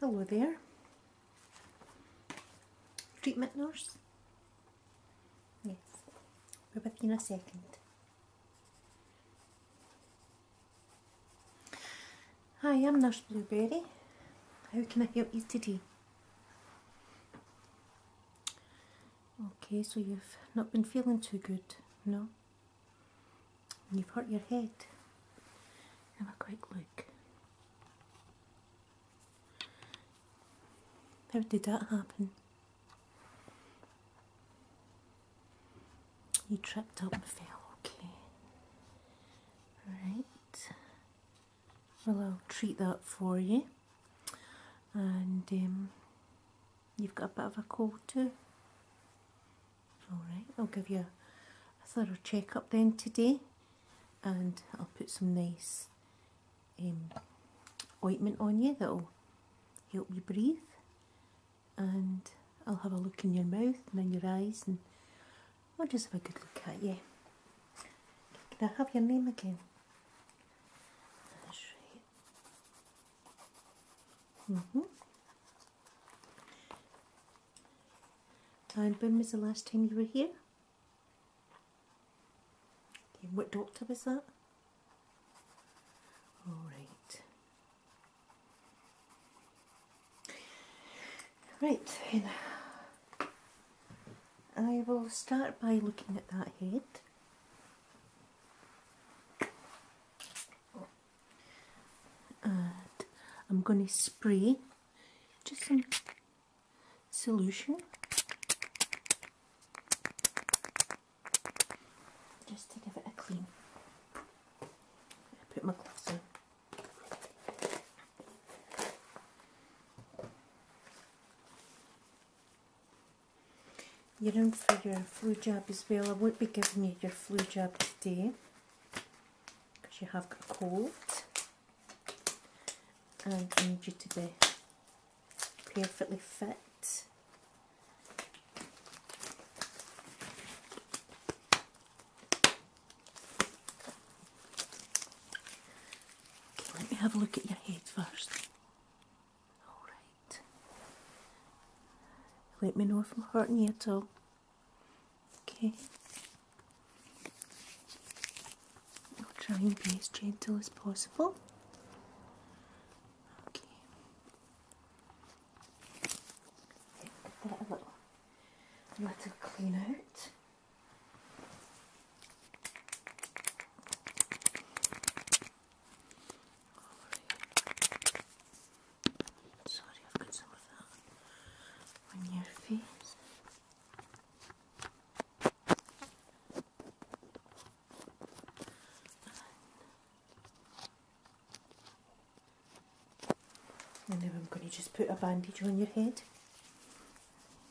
Hello there. Treatment nurse? Yes. We're with you in a second. Hi, I'm Nurse Blueberry. How can I help you today? Okay, so you've not been feeling too good, no? You've hurt your head. Have a quick look. How did that happen? You tripped up and fell, okay. Right. Well, I'll treat that for you. And um, you've got a bit of a cold too. Alright, I'll give you a thorough checkup then today. And I'll put some nice um, ointment on you that'll help you breathe. And I'll have a look in your mouth and in your eyes I'll just have a good look at you. Can I have your name again? That's right. hmm And when was the last time you were here? Okay, what doctor was that? Alright. Right then, I will start by looking at that head. I'm going to spray just some solution just to give it a clean. put my gloves on. You don't figure a flu jab as well. I won't be giving you your flu jab today because you have got a cold and I need you to be perfectly fit let me have a look at your head first. Alright. Let me know if I'm hurting you at all. Okay. I'll try and be as gentle as possible. Okay. Get a little clean out. Sorry, I've got some of that on your face. And then I'm going to just put a bandage on your head.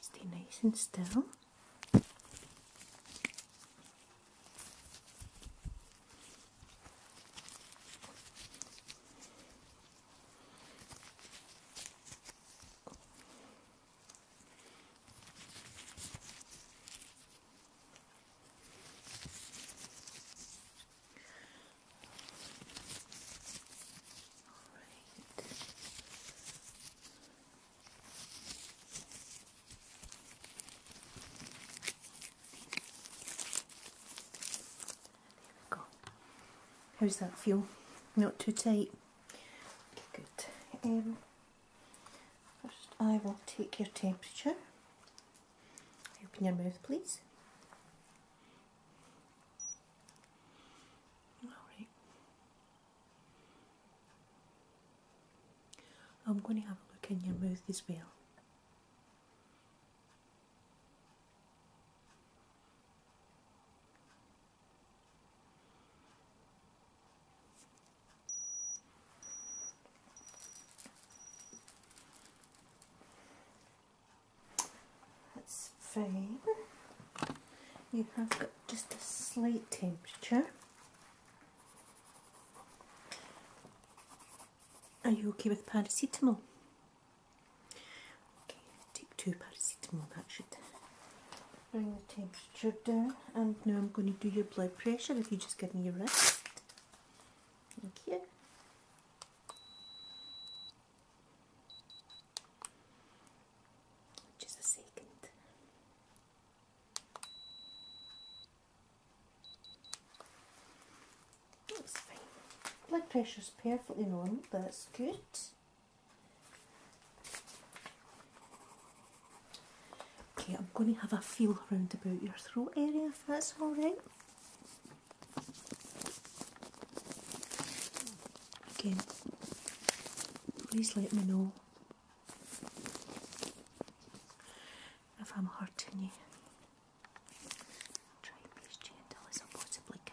Stay nice and still. There we go. How's that feel? Not too tight? good. Um, first I will take your temperature. Open your mouth please. Alright. I'm going to have a look in your mouth as well. That's fine. You have got just a slight temperature. Are you okay with paracetamol? Okay, take two paracetamol, that should bring the temperature down. And now I'm going to do your blood pressure if you just give me your wrist. Thank you. Just a second. That's fine. Blood pressure's perfectly normal, that's good. Okay, I'm going to have a feel around about your throat area if that's alright. Again, please let me know if I'm hurting you. I'll try and be gentle as I possibly can.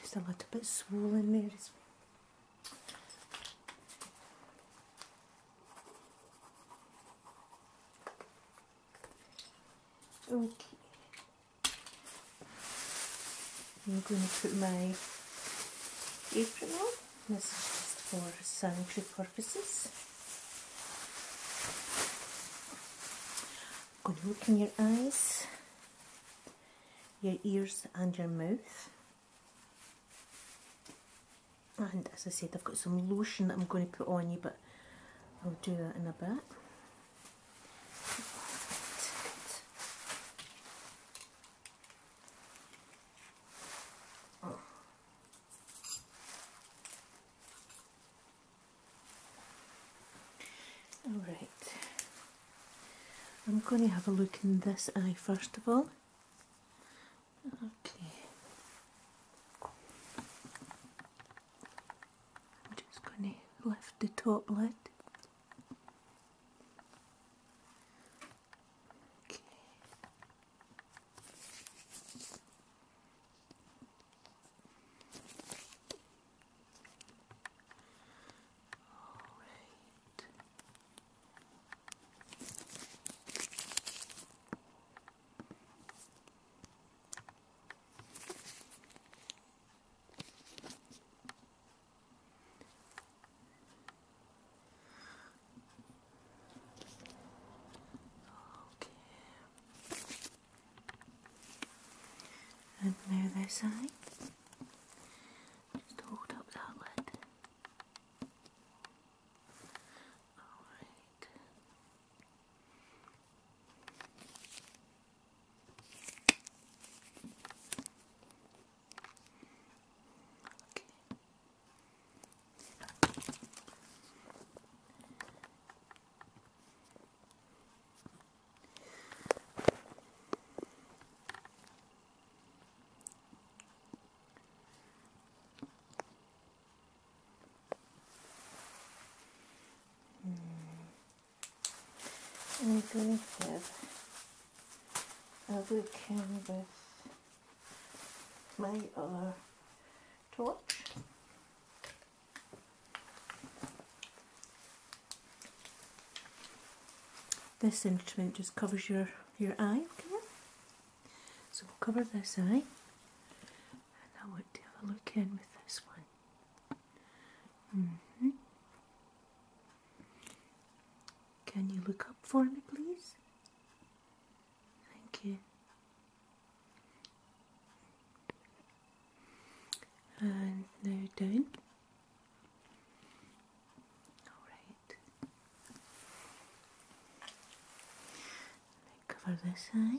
just a little bit swollen there as well. Okay. I'm going to put my apron on. This is just for sanitary purposes. i going to look in your eyes your ears and your mouth. And as I said, I've got some lotion that I'm going to put on you, but I'll do that in a bit. Alright, I'm going to have a look in this eye first of all. Okay. I'm just going to lift the top lid. Okay. All right. Okay. And the other side. Just hold up outlet. Alright. Okay. I'm going to have a weekend with my other torch. This instrument just covers your, your eye, So we'll cover this eye. And now we'll have a look in with this one. Mm-hmm. Can you look up for me, please? Thank you. And now down. Alright. Cover this eye.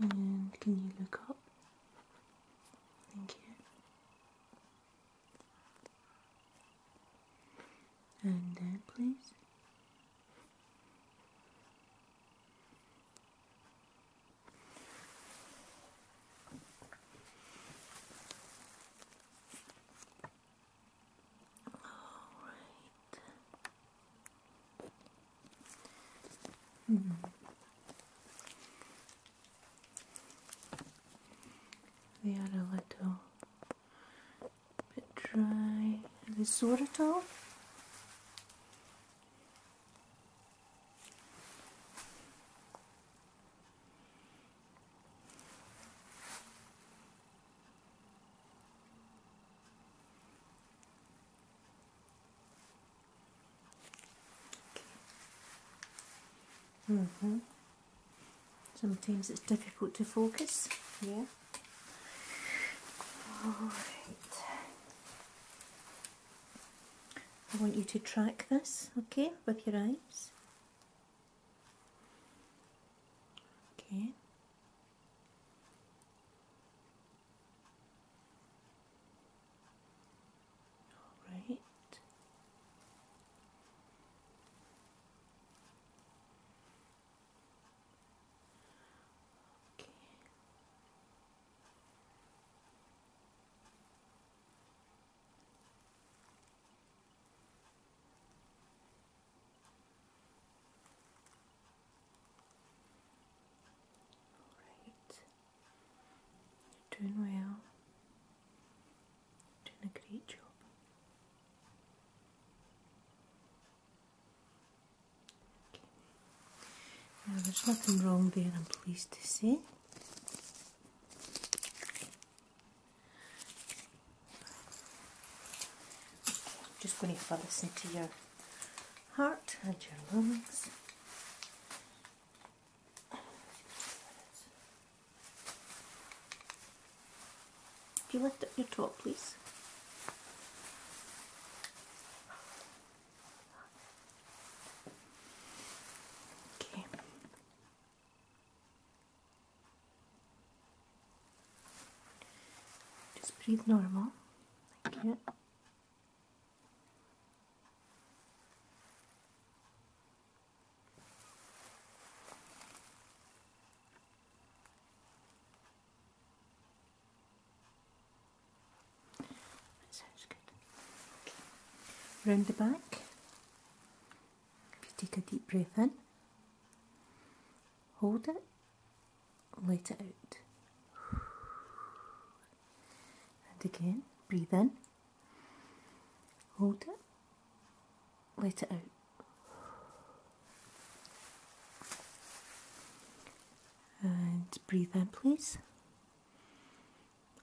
And can you look up? Thank you. And then, please. All right. -hmm. The other little bit dry. The soda towel hmm Sometimes it's difficult to focus. Yeah. All right. I want you to track this, okay, with your eyes. Okay. Alright. Okay. Alright, you're doing well, doing a great job there's nothing wrong there, I'm pleased to see. just going to fill this into your heart and your lungs. If you lift up your top, please. Okay. Just breathe normal, like that sounds good. Round the back. take a deep breath in, hold it, let it out. And again, breathe in, hold it, let it out. And breathe in, please.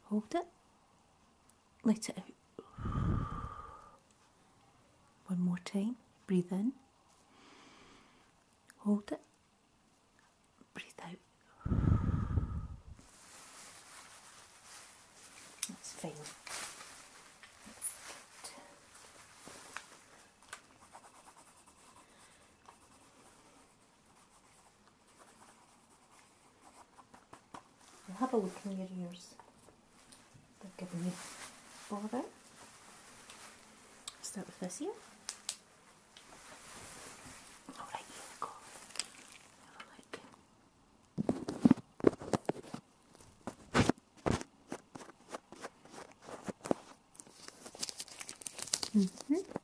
Hold it. Let it out. One more time. Breathe in. Hold it. Breathe out. That's fine. That's and have a look in your ears. They're giving me bother. Start with this ear. Alright, here we go. Have -hmm.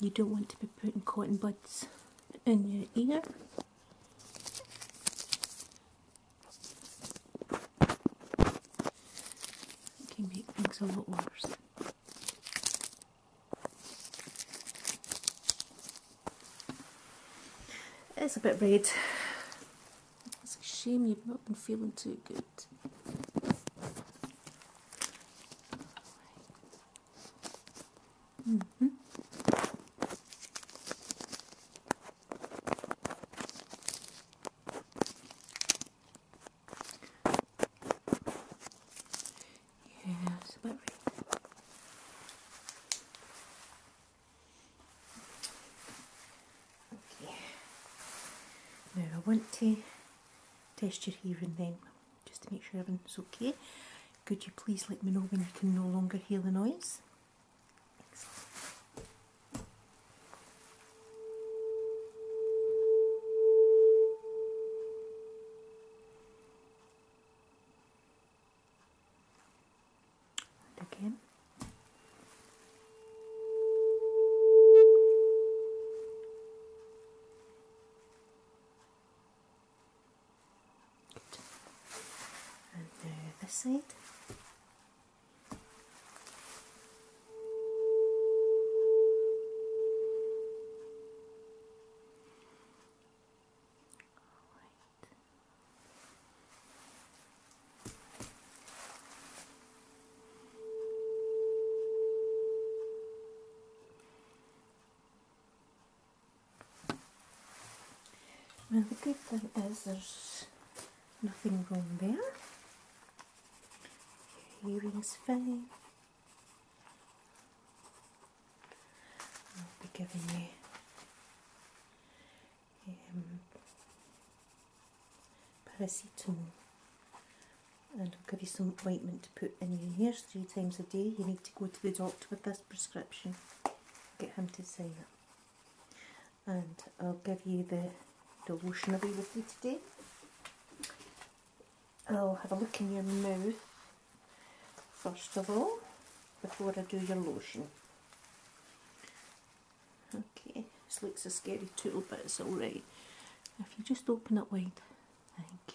You don't want to be putting cotton buds in your ear. It can a lot worse. It's a bit red it's a shame you've not been feeling too good. -hmm. Yeah, now I want to test your hearing then, just to make sure everything's okay. Could you please let me know when you can no longer hear the noise? And again. And now this side. And the good thing is there's nothing wrong there. Your earring's fine. I'll be giving you paracetamol and I'll give you some ointment to put in your ears three times a day. You need to go to the doctor with this prescription, get him to sign it. And I'll give you the, the lotion away with you today. I'll have a look in your mouth first of all before I do your lotion. Okay, this looks a scary tool, but it's alright. If you just open it wide, thank you.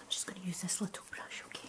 I'm just going to use this little brush, okay?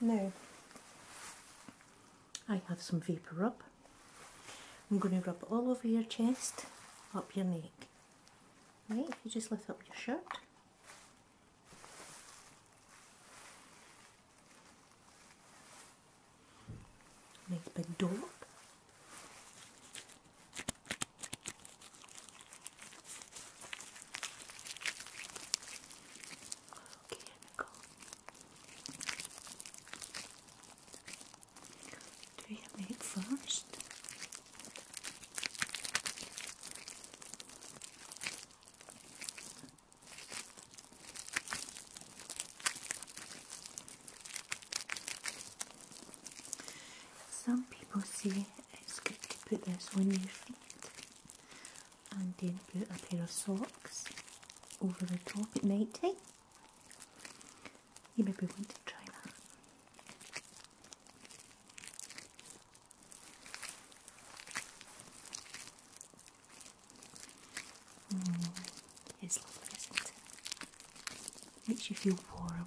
Now, I have some vapour rub. I'm going to rub all over your chest, up your neck. Right, if you just lift up your shirt. Nice big dollop. Okay, Nicole. Do you have it first? Some people see it's good to put this on your feet and then put a pair of socks over the top It might take. You maybe want to try that. Mm, Makes you feel warm.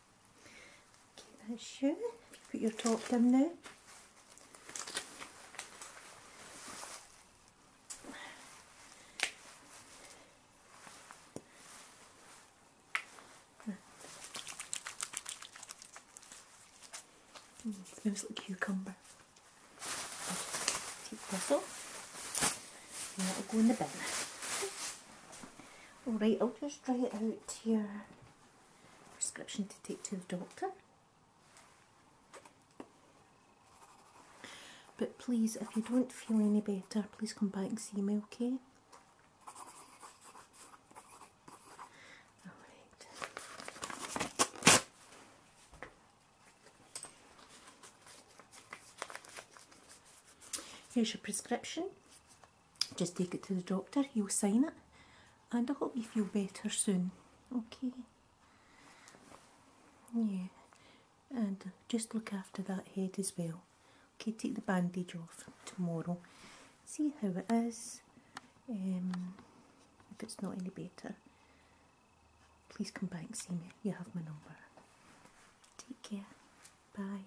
Keep that you. put your top down now. Mm, smells like cucumber. Take this will go in the bin. Alright, I'll just dry it out here. Prescription to take to the doctor. But please, if you don't feel any better, please come back and see me, okay? Here's your prescription just take it to the doctor, he'll sign it, and I hope you feel better soon. Okay? Yeah, and just look after that head as well. Okay, take the bandage off tomorrow, see how it is, um, if it's not any better. Please come back and see me. You have my number. Take care. Bye.